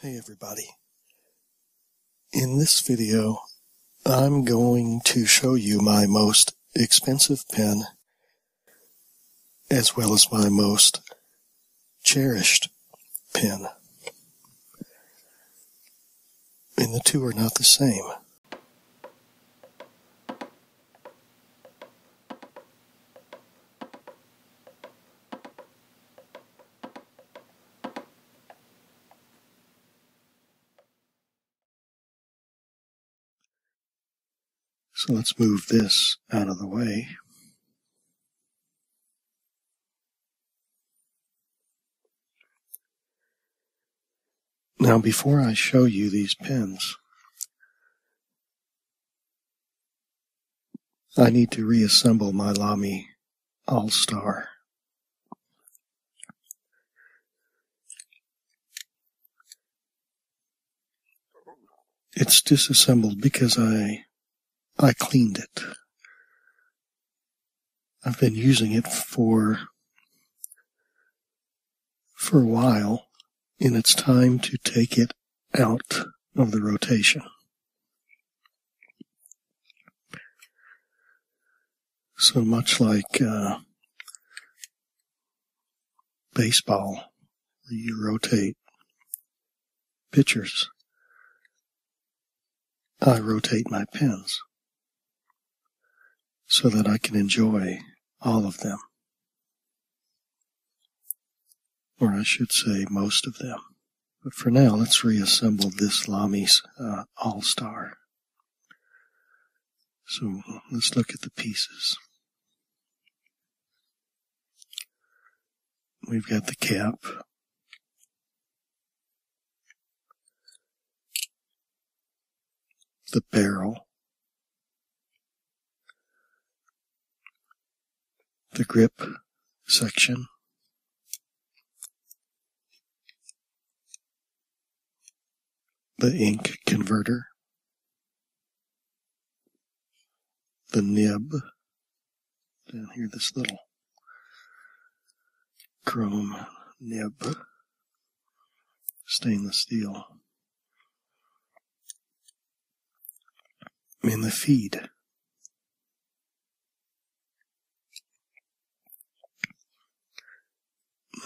Hey everybody. In this video, I'm going to show you my most expensive pen as well as my most cherished pen. And the two are not the same. So let's move this out of the way. Now, before I show you these pins, I need to reassemble my Lami All Star. It's disassembled because I I cleaned it. I've been using it for for a while, and it's time to take it out of the rotation. So much like uh, baseball, you rotate pitchers. I rotate my pins so that I can enjoy all of them or I should say most of them. But for now, let's reassemble this Lami's uh, all-star. So let's look at the pieces. We've got the cap. The barrel the grip section. The ink converter. The nib. Down here, this little chrome nib. Stainless steel in the feed.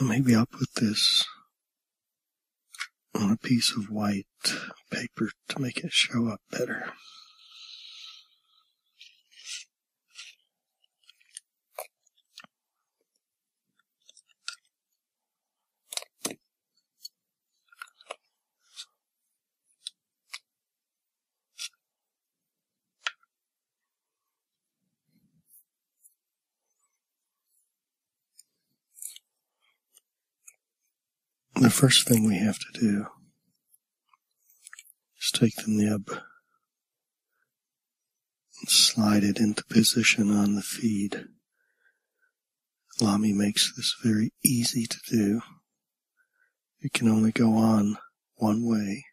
Maybe I'll put this on a piece of white paper to make it show up better. The first thing we have to do is take the nib and slide it into position on the feed. Lamy makes this very easy to do it can only go on one way.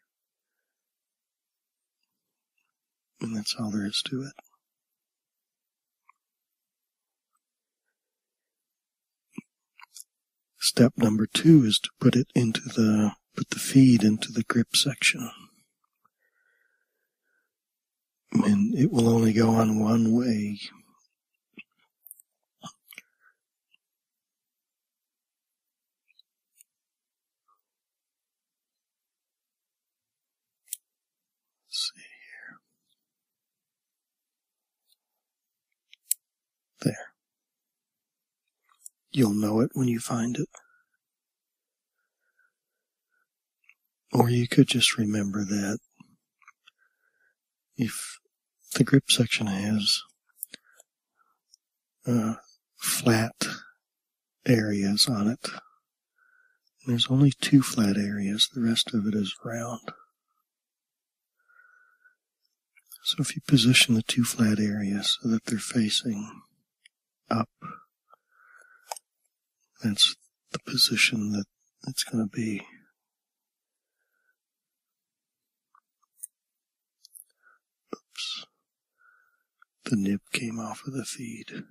And that's all there is to it. Step number two is to put it into the, put the feed into the grip section. And it will only go on one way there. You'll know it when you find it. Or you could just remember that if the grip section has flat areas on it. there's only two flat areas, the rest of it is round. So if you position the two flat areas so that they're facing up, that's the position that it's going to be. Oops. The nib came off of the feed. Okay.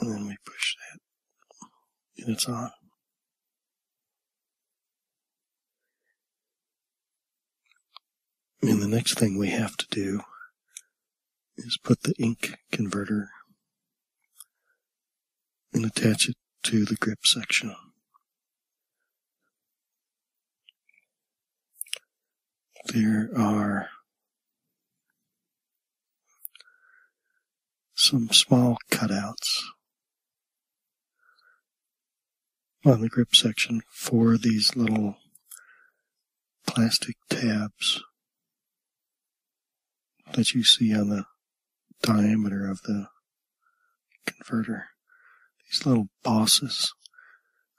And then we push that and it's on. And the next thing we have to do is put the ink converter and attach it to the grip section. There are some small cutouts on the grip section for these little plastic tabs that you see on the diameter of the converter. These little bosses,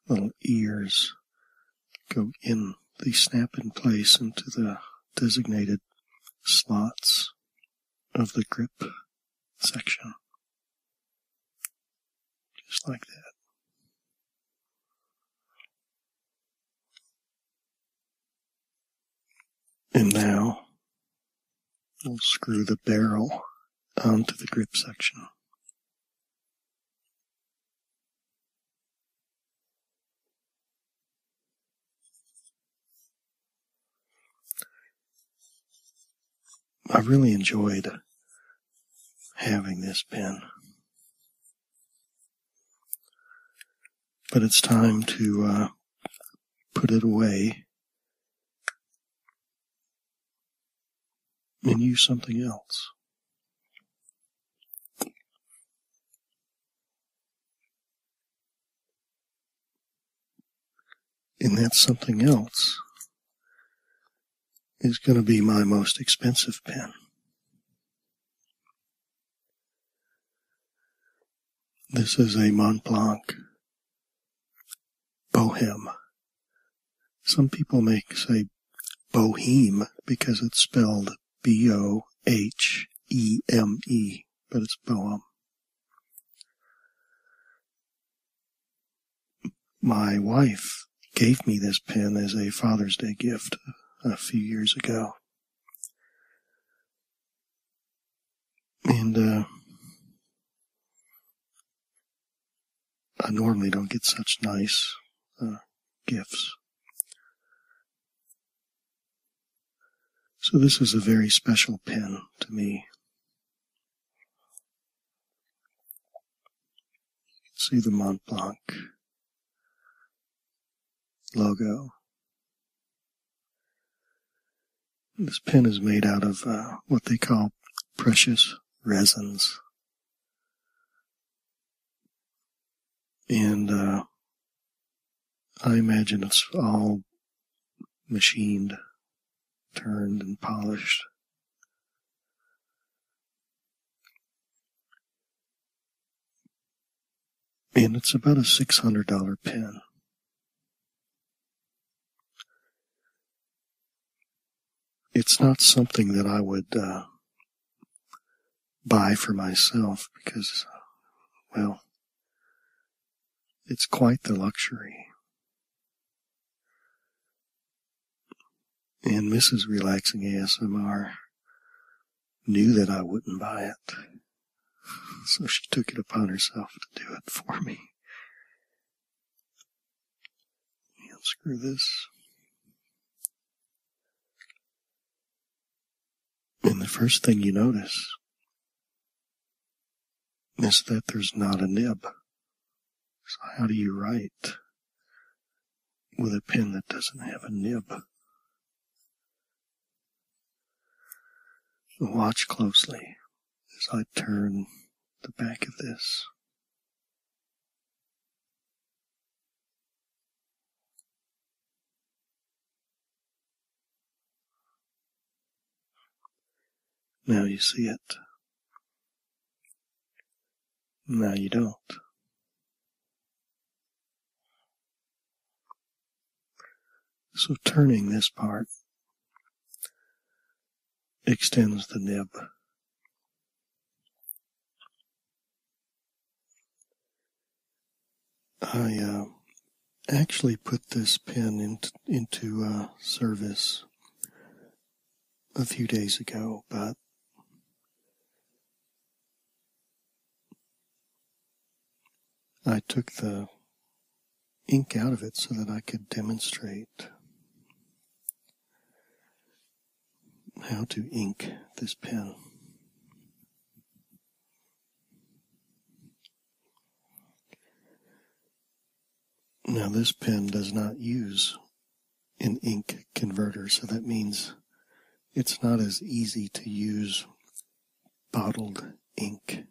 little ears go in. They snap in place into the designated slots of the grip section. Just like that. And now we'll screw the barrel onto the grip section. I really enjoyed having this pen. But it's time to uh, put it away and use something else. And that something else is going to be my most expensive pen. This is a Montblanc Bohem. Some people may say Boheme because it's spelled B O H E M E, but it's Bohem. My wife gave me this pen as a Father's Day gift a few years ago. And uh, I normally don't get such nice uh, gifts. So this is a very special pen to me. You can see the Mont Blanc logo. This pen is made out of uh, what they call precious resins. And uh, I imagine it's all machined, turned, and polished. And it's about a $600 pin. It's not something that I would uh, buy for myself because, well, it's quite the luxury. And Mrs. Relaxing ASMR knew that I wouldn't buy it. So she took it upon herself to do it for me. And screw this. And the first thing you notice is that there's not a nib. So how do you write with a pen that doesn't have a nib? Watch closely as I turn the back of this. Now you see it. Now you don't. So turning this part extends the nib. I uh, actually put this pen into uh, service a few days ago, but I took the ink out of it so that I could demonstrate how to ink this pen. Now this pen does not use an ink converter, so that means it's not as easy to use bottled ink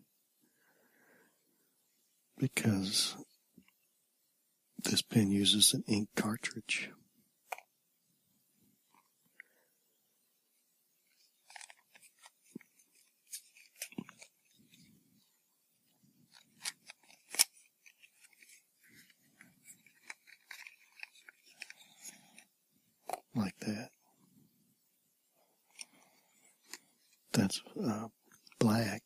because this pen uses an ink cartridge. Like that. That's uh, black.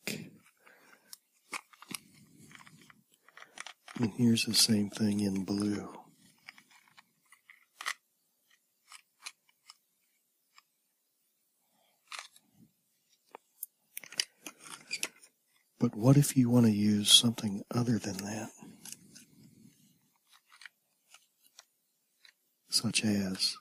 And here's the same thing in blue. But what if you want to use something other than that? Such as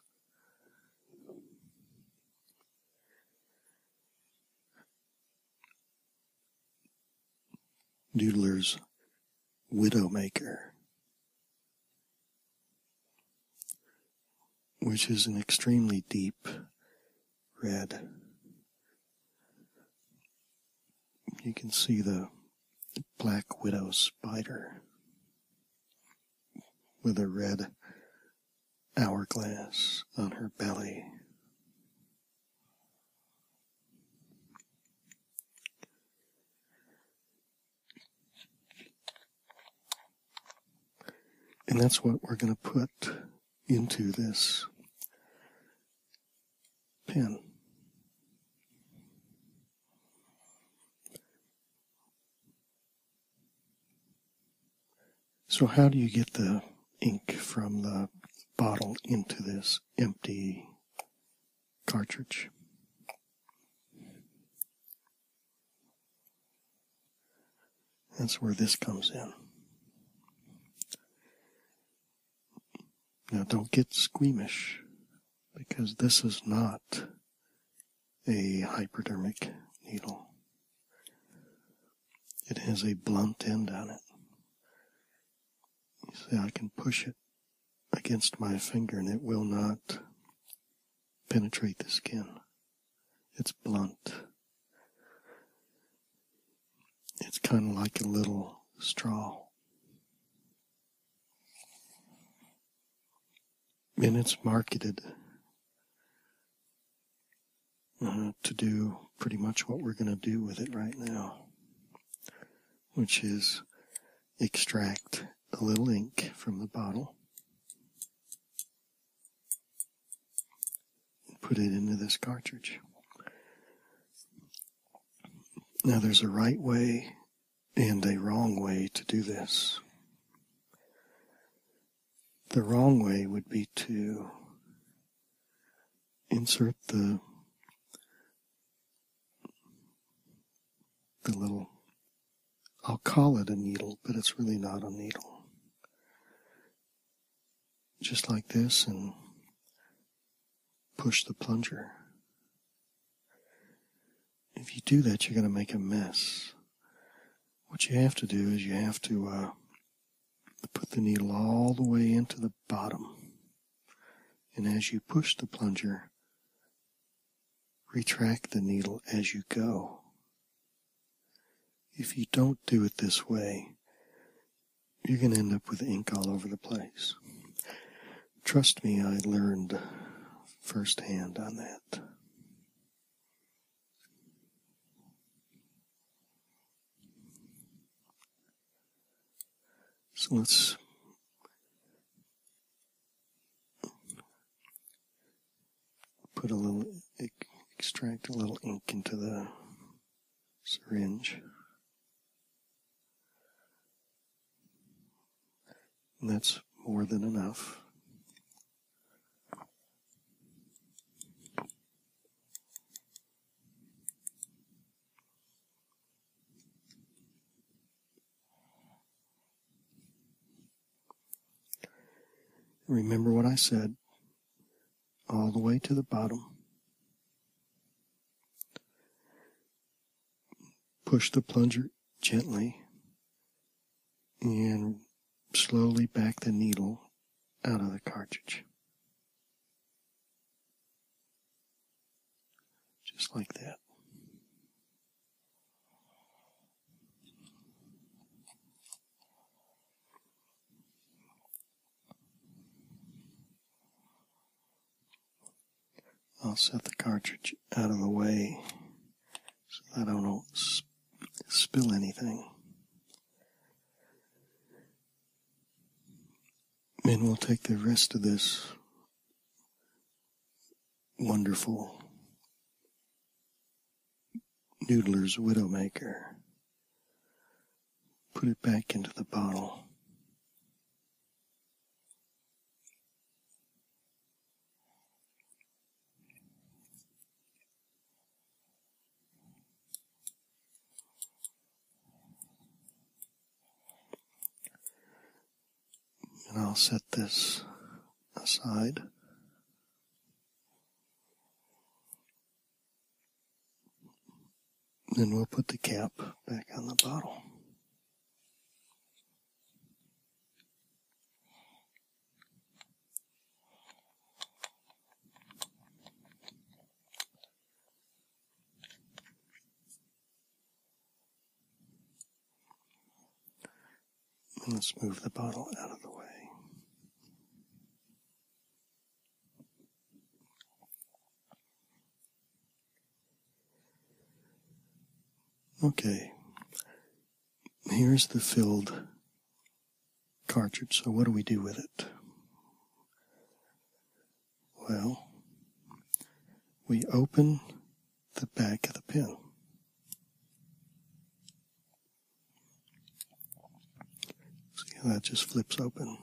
Doodler's Widowmaker which is an extremely deep red. You can see the black widow spider with a red hourglass on her belly. And that's what we're going to put into this pen. So how do you get the ink from the bottle into this empty cartridge? That's where this comes in. Now, don't get squeamish because this is not a hypodermic needle. It has a blunt end on it. see, I can push it against my finger and it will not penetrate the skin. It's blunt. It's kind of like a little straw. And it's marketed uh, to do pretty much what we're going to do with it right now, which is extract a little ink from the bottle and put it into this cartridge. Now, there's a right way and a wrong way to do this. The wrong way would be to insert the the little, I'll call it a needle, but it's really not a needle. Just like this, and push the plunger. If you do that, you're going to make a mess. What you have to do is you have to uh, put the needle all the way into the bottom. And as you push the plunger, Retract the needle as you go. If you don't do it this way, you can end up with ink all over the place. Trust me, I learned firsthand on that. So let's put a little, extract a little ink into the syringe. that's more than enough. Remember what I said all the way to the bottom. Push the plunger gently and slowly back the needle out of the cartridge. Just like that. I'll set the cartridge out of the way so that I don't spill anything. And we'll take the rest of this wonderful Noodler's Widowmaker. Put it back into the bottle and I'll set this aside. Then we'll put the cap back on the bottle let's move the bottle out of the way. Okay, here's the filled cartridge. So, what do we do with it? Well, we open the back of the pen. See how that just flips open.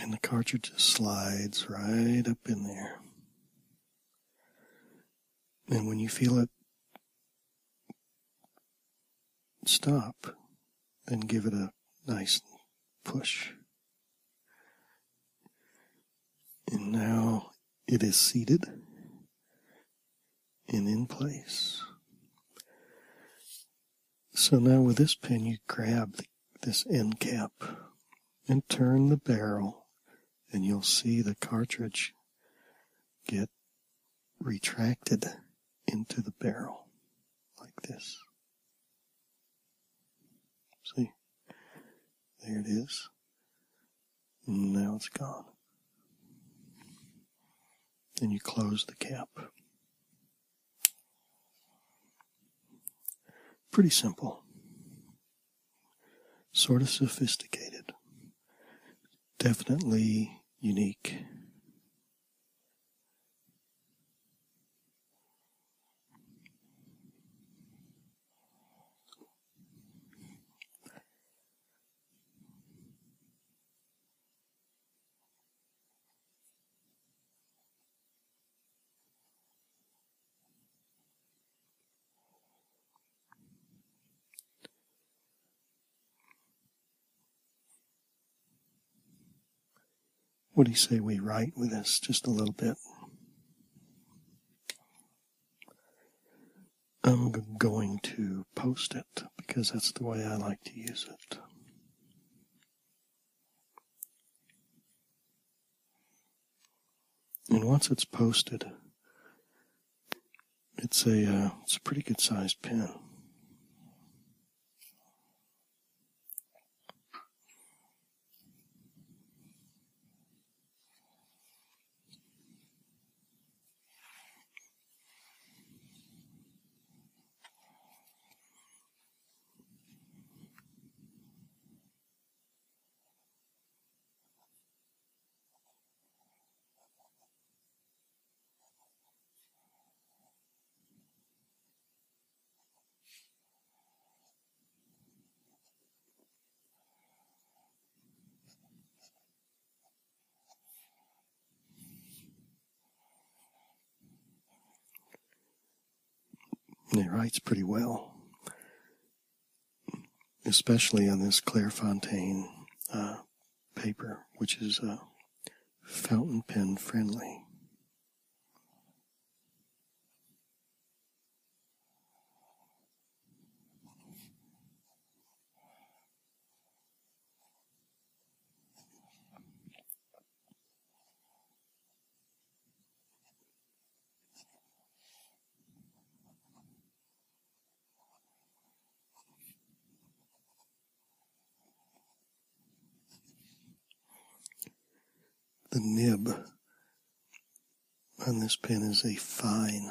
And the cartridge just slides right up in there. And when you feel it stop, then give it a nice push. And now it is seated and in place. So now with this pin, you grab this end cap and turn the barrel, and you'll see the cartridge get retracted into the barrel like this. See? There it is. now it's gone. Then you close the cap. Pretty simple. Sort of sophisticated. Definitely unique. What do you say we write with this just a little bit? I'm going to post it because that's the way I like to use it. And once it's posted, it's a uh, it's a pretty good sized pen. And he writes pretty well, especially on this Clairefontaine uh, paper, which is uh, fountain pen friendly. The nib on this pen is a fine.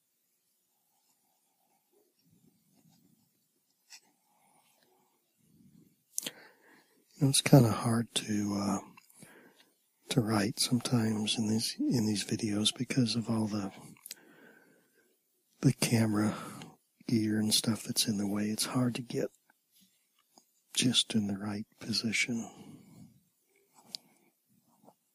It's kind of hard to uh, to write sometimes in these in these videos because of all the the camera gear and stuff that's in the way. It's hard to get just in the right position.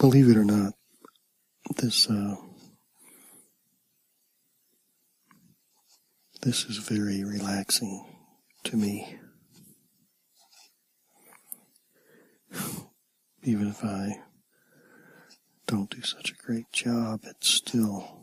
Believe it or not, this uh, this is very relaxing to me. Even if I don't do such a great job, it still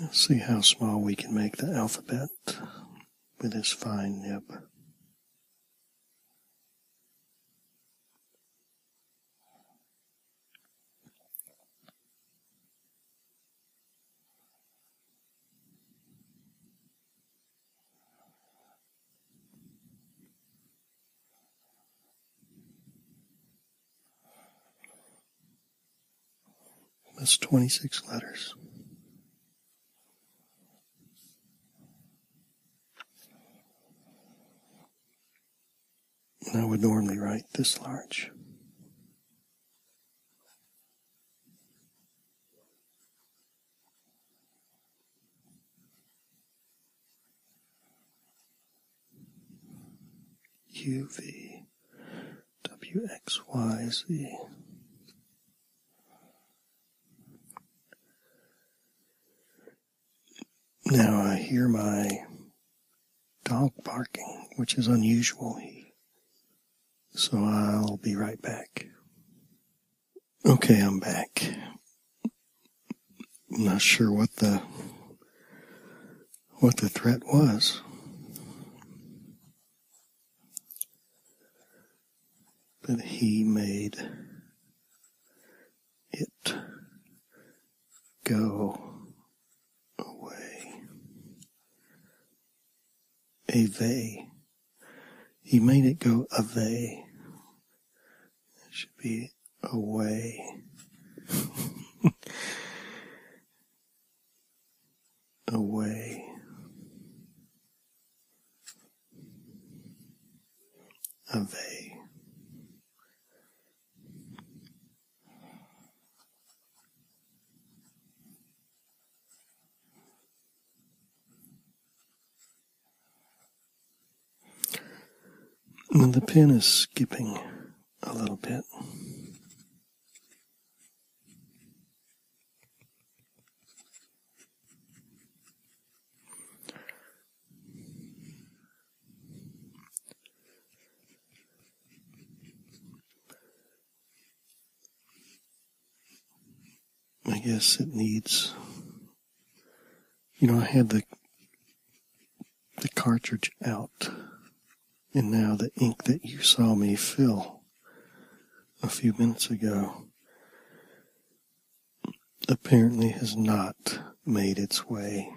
Let's see how small we can make the alphabet with this fine nib. That's 26 letters. And I would normally write this large. UV WXYZ. Now I hear my dog barking, which is unusual. So I'll be right back. Okay, I'm back. I'm not sure what the what the threat was. But he made it go away. Away. He made it go away. It should be away. away. Away. the pen is skipping a little bit. I guess it needs you know I had the the cartridge out and now the ink that you saw me fill a few minutes ago apparently has not made its way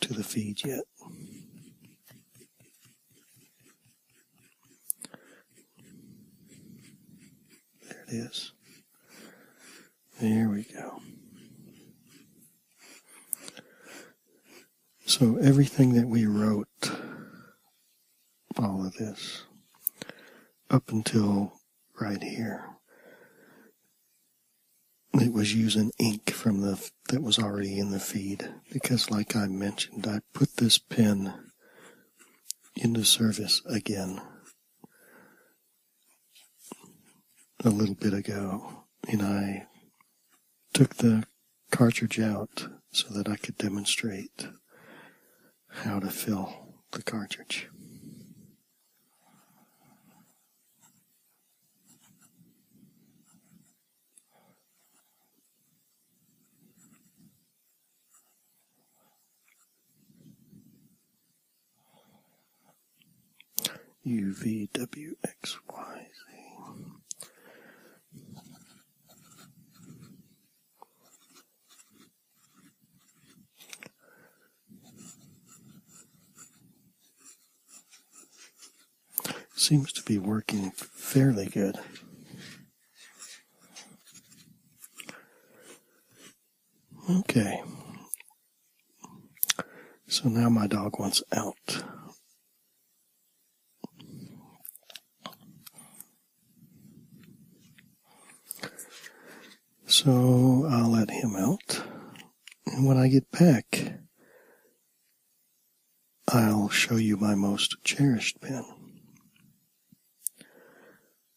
to the feed yet. There it is. There we go. So everything that we wrote, all of this, up until right here, it was using ink from the that was already in the feed because, like I mentioned, I put this pen into service again a little bit ago, and I took the cartridge out so that I could demonstrate how to fill the cartridge. UVWXYZ. Seems to be working fairly good. Okay. So now my dog wants out. So I'll let him out. And when I get back, I'll show you my most cherished pen.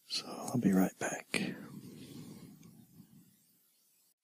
So I'll be right back.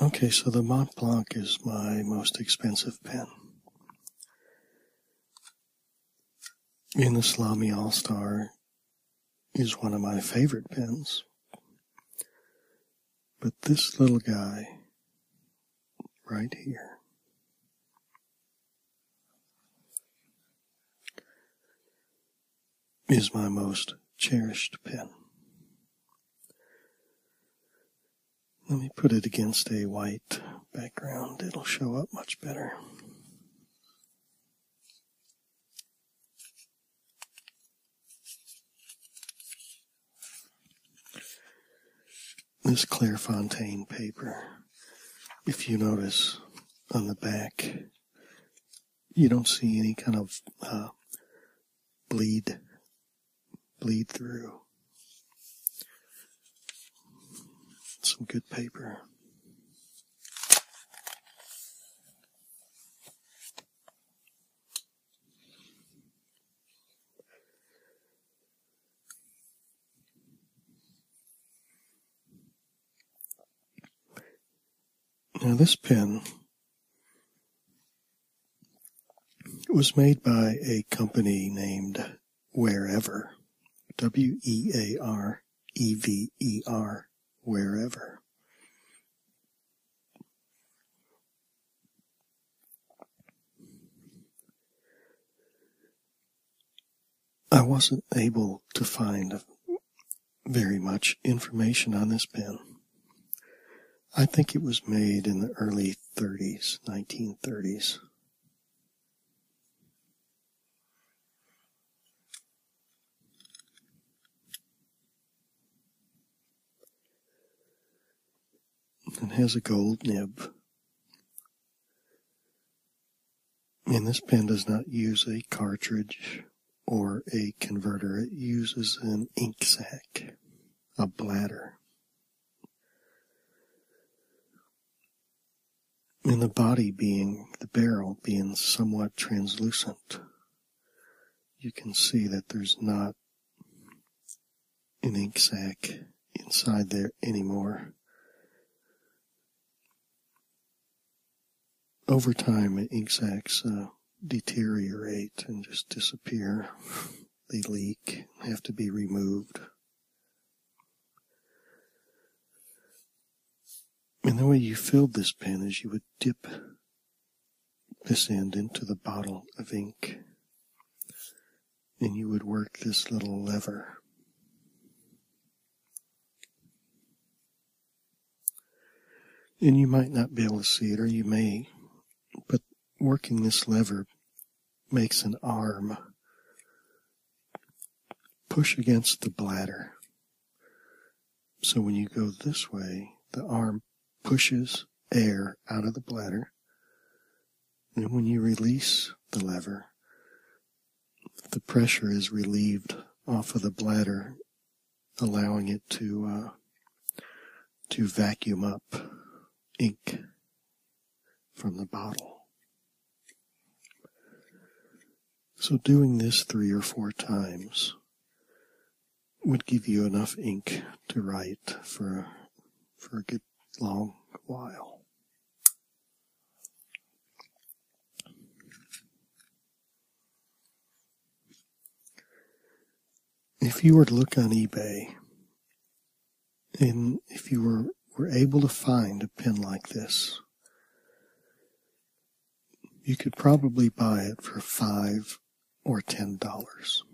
Okay, so the Mont Blanc is my most expensive pen. And the Salami All Star is one of my favorite pens. But this little guy right here is my most cherished pen. Let me put it against a white background. It'll show up much better. This Clairefontaine paper, if you notice on the back, you don't see any kind of uh, bleed bleed through. Some good paper. Now, this pen was made by a company named Wherever, W E A R E V E R, Wherever. I wasn't able to find very much information on this pen. I think it was made in the early 30s, 1930s. and has a gold nib. And this pen does not use a cartridge or a converter. It uses an ink sac, a bladder. And the body being, the barrel being somewhat translucent, you can see that there's not an ink sac inside there anymore over time, ink sacs uh, deteriorate and just disappear. they leak, have to be removed. And the way you filled this pen is you would dip this end into the bottle of ink, and you would work this little lever. And you might not be able to see it, or you may, but working this lever makes an arm push against the bladder. So when you go this way, the arm pushes air out of the bladder. And when you release the lever, the pressure is relieved off of the bladder, allowing it to uh, to vacuum up ink from the bottle. So doing this three or four times would give you enough ink to write for for a good long while. If you were to look on eBay and if you were, able to find a pin like this, you could probably buy it for five or ten dollars.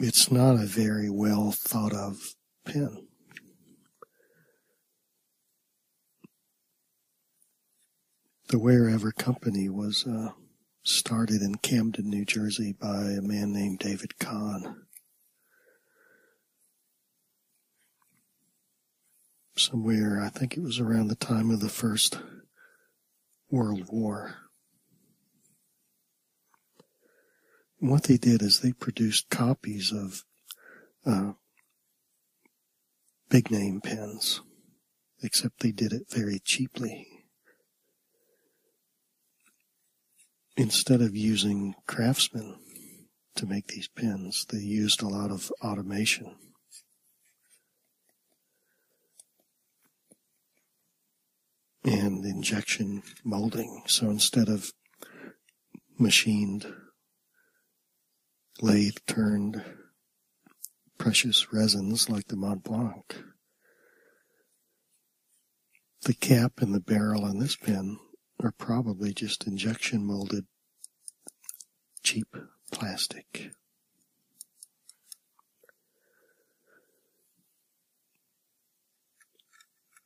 It's not a very well thought of pen. The Wherever Company was uh, started in Camden, New Jersey by a man named David Kahn. Somewhere, I think it was around the time of the First World War what they did is they produced copies of uh, big name pens, except they did it very cheaply. Instead of using craftsmen to make these pens, they used a lot of automation and injection molding. So instead of machined, lathe turned precious resins like the Mont Blanc, the cap and the barrel on this pen are probably just injection molded cheap plastic.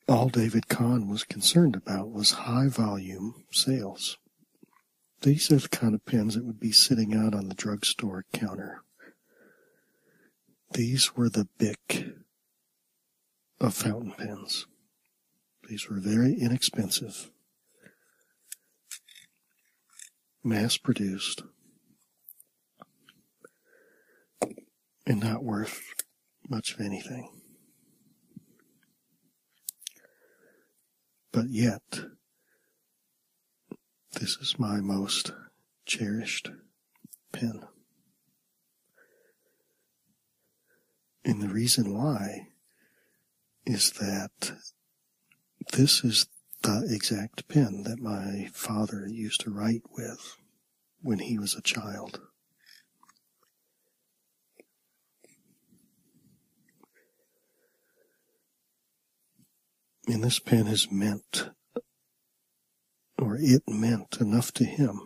All David Kahn was concerned about was high volume sales. These are the kind of pens that would be sitting out on the drugstore counter. These were the Bic of fountain pens. These were very inexpensive, mass produced and not worth much of anything. But yet, this is my most cherished pen. And the reason why is that this is the exact pen that my father used to write with when he was a child. And this pen has meant, or it meant enough to him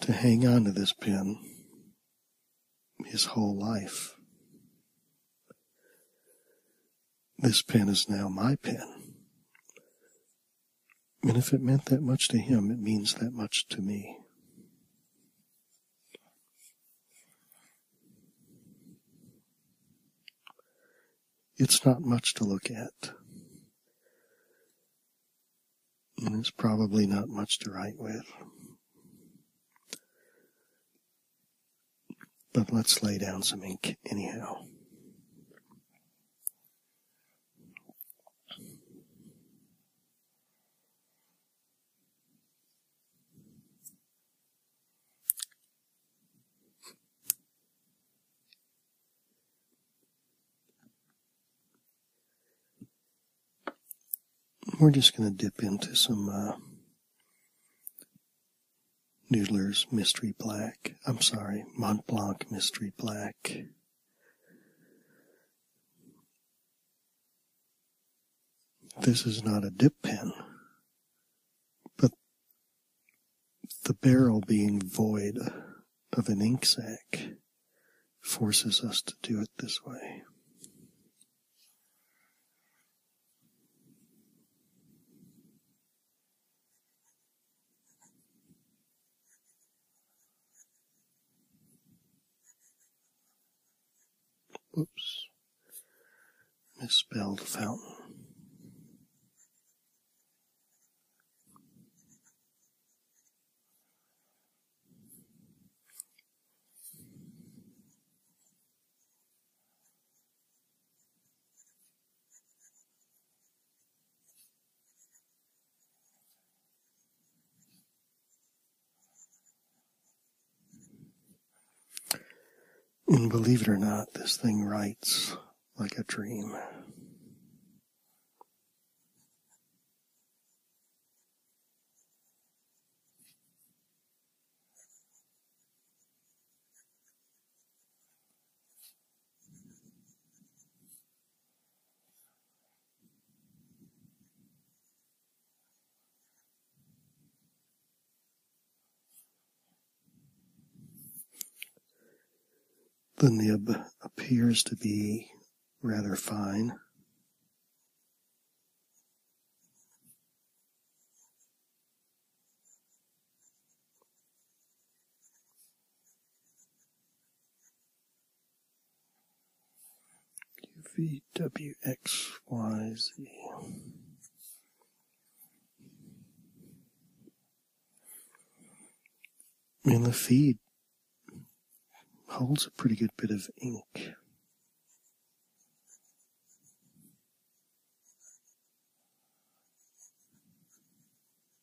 to hang on to this pen his whole life. This pen is now my pen. And if it meant that much to him, it means that much to me. It's not much to look at. And it's probably not much to write with. But let's lay down some ink anyhow. We're just going to dip into some uh, Noodler's Mystery Black. I'm sorry, Mont Blanc Mystery Black. This is not a dip pen, but the barrel being void of an ink sac forces us to do it this way. Oops! Misspelled fountain. And believe it or not, this thing writes like a dream. The nib appears to be rather fine. VWXYZ. And the feed holds a pretty good bit of ink.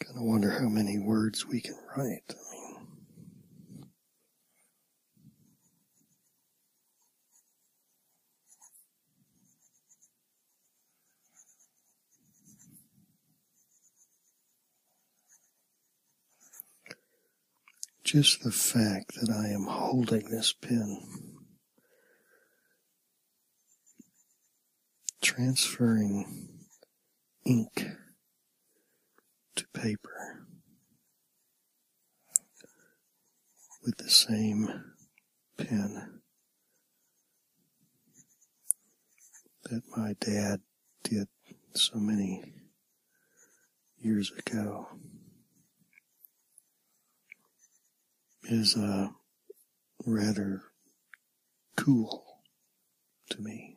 Kind of wonder how many words we can write. Just the fact that I am holding this pen, transferring ink to paper with the same pen that my dad did so many years ago is uh, rather cool to me.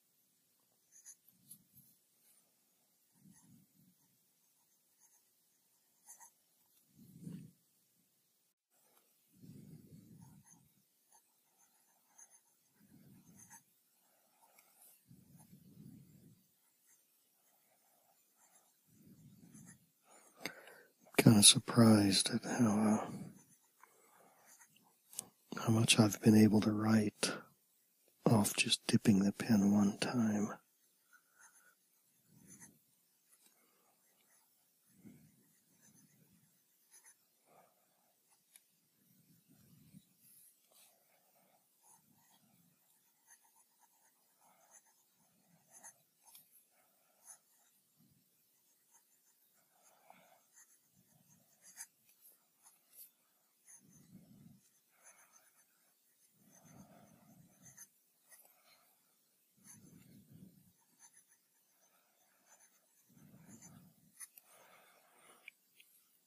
kind of surprised at how uh, how much I've been able to write off just dipping the pen one time.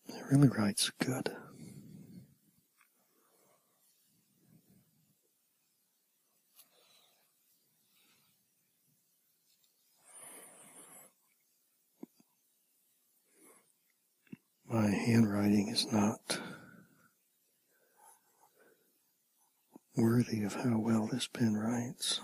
It really writes good my handwriting is not worthy of how well this pen writes.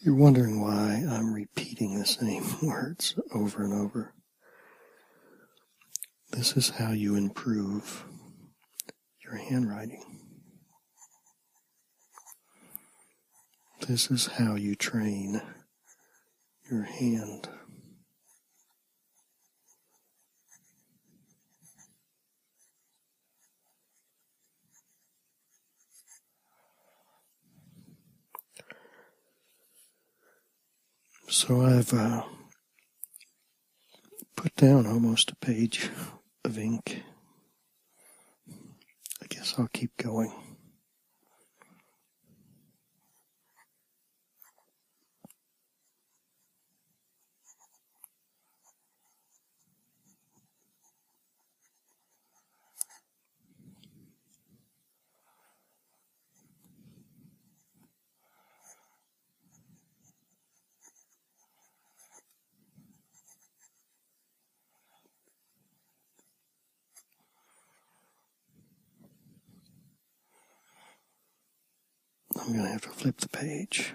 You're wondering why I'm repeating the same words over and over. This is how you improve your handwriting. This is how you train your hand. So I've uh, put down almost a page of ink. I guess I'll keep going. I'm going to have to flip the page.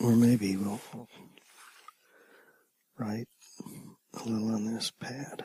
Or maybe we'll Right, a little on this pad.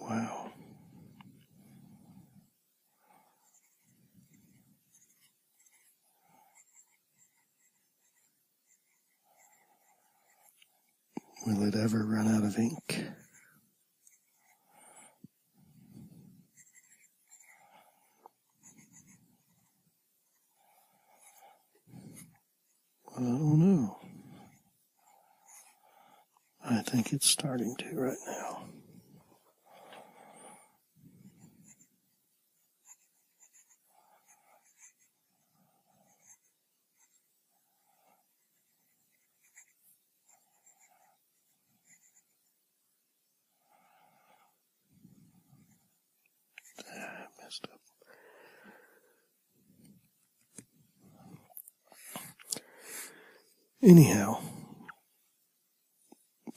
Wow. Will it ever run out of ink? I don't know. I think it's starting to right now. Ah, Anyhow,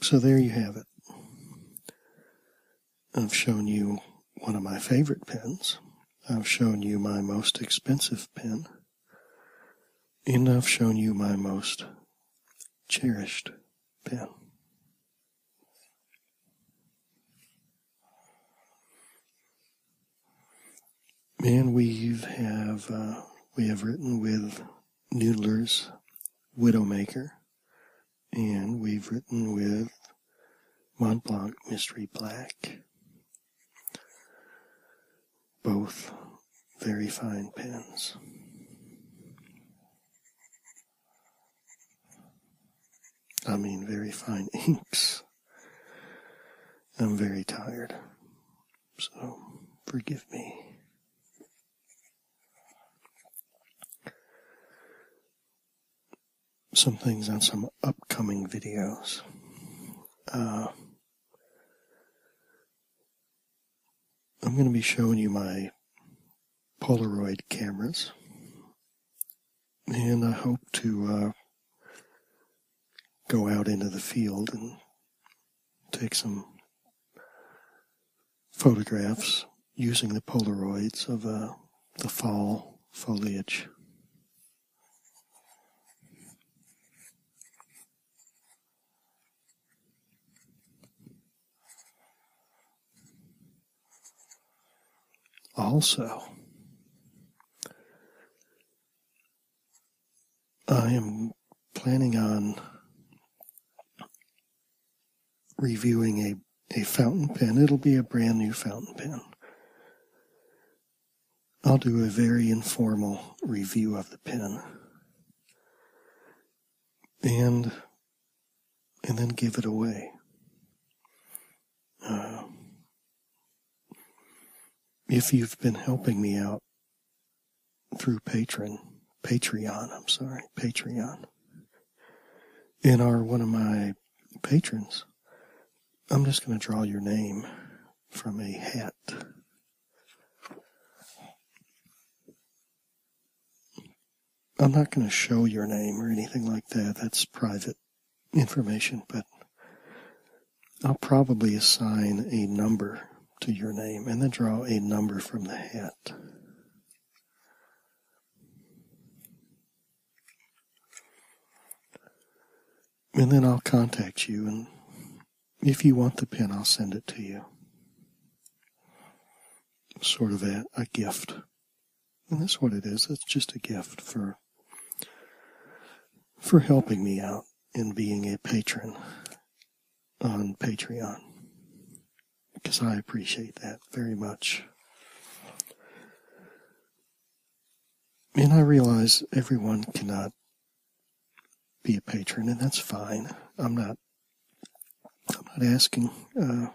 so there you have it. I've shown you one of my favorite pens. I've shown you my most expensive pen. And I've shown you my most cherished pen. And we have uh, we have written with Noodler's Widowmaker, and we've written with Montblanc Mystery Black. Both very fine pens. I mean, very fine inks. I'm very tired, so forgive me. Some things on some upcoming videos. Uh, I'm going to be showing you my Polaroid cameras, and I hope to uh, go out into the field and take some photographs using the Polaroids of uh, the fall foliage. Also, I am planning on reviewing a, fountain pen. It'll be a brand new fountain pen. I'll do a very informal review of the pen. And and then give it away. Uh, if you've been helping me out through Patreon, Patreon, I'm sorry, Patreon, and are one of my patrons, I'm just going to draw your name from a hat. I'm not going to show your name or anything like that. That's private information, but I'll probably assign a number to your name and then draw a number from the hat. And then I'll contact you, and if you want the pin, I'll send it to you sort of a, a gift. And that's what it is. It's just a gift for for helping me out in being a patron on Patreon. Because I appreciate that very much. And I realize everyone cannot be a patron, and that's fine. I'm not I'm not asking uh,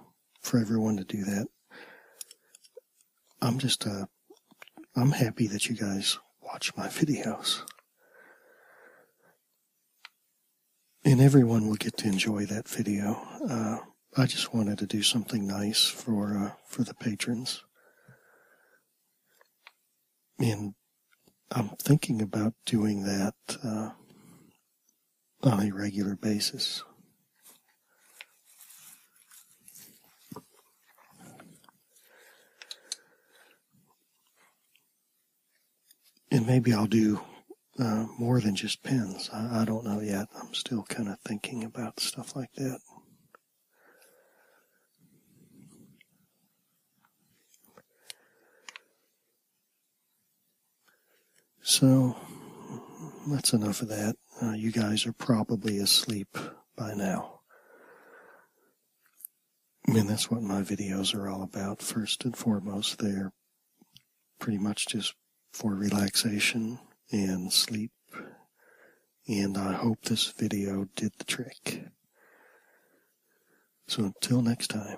for everyone to do that. I'm just, uh, I'm happy that you guys watch my videos. And everyone will get to enjoy that video. Uh, I just wanted to do something nice for for the patrons. And I'm thinking about doing that on a regular basis. And maybe I'll do uh, more than just pins. I don't know yet. I'm still kind of thinking about stuff like that. So that's enough of that. Uh, you guys are probably asleep by now. I mean, that's what my videos are all about, first and foremost. They're pretty much just for relaxation and sleep. And I hope this video did the trick. So until next time,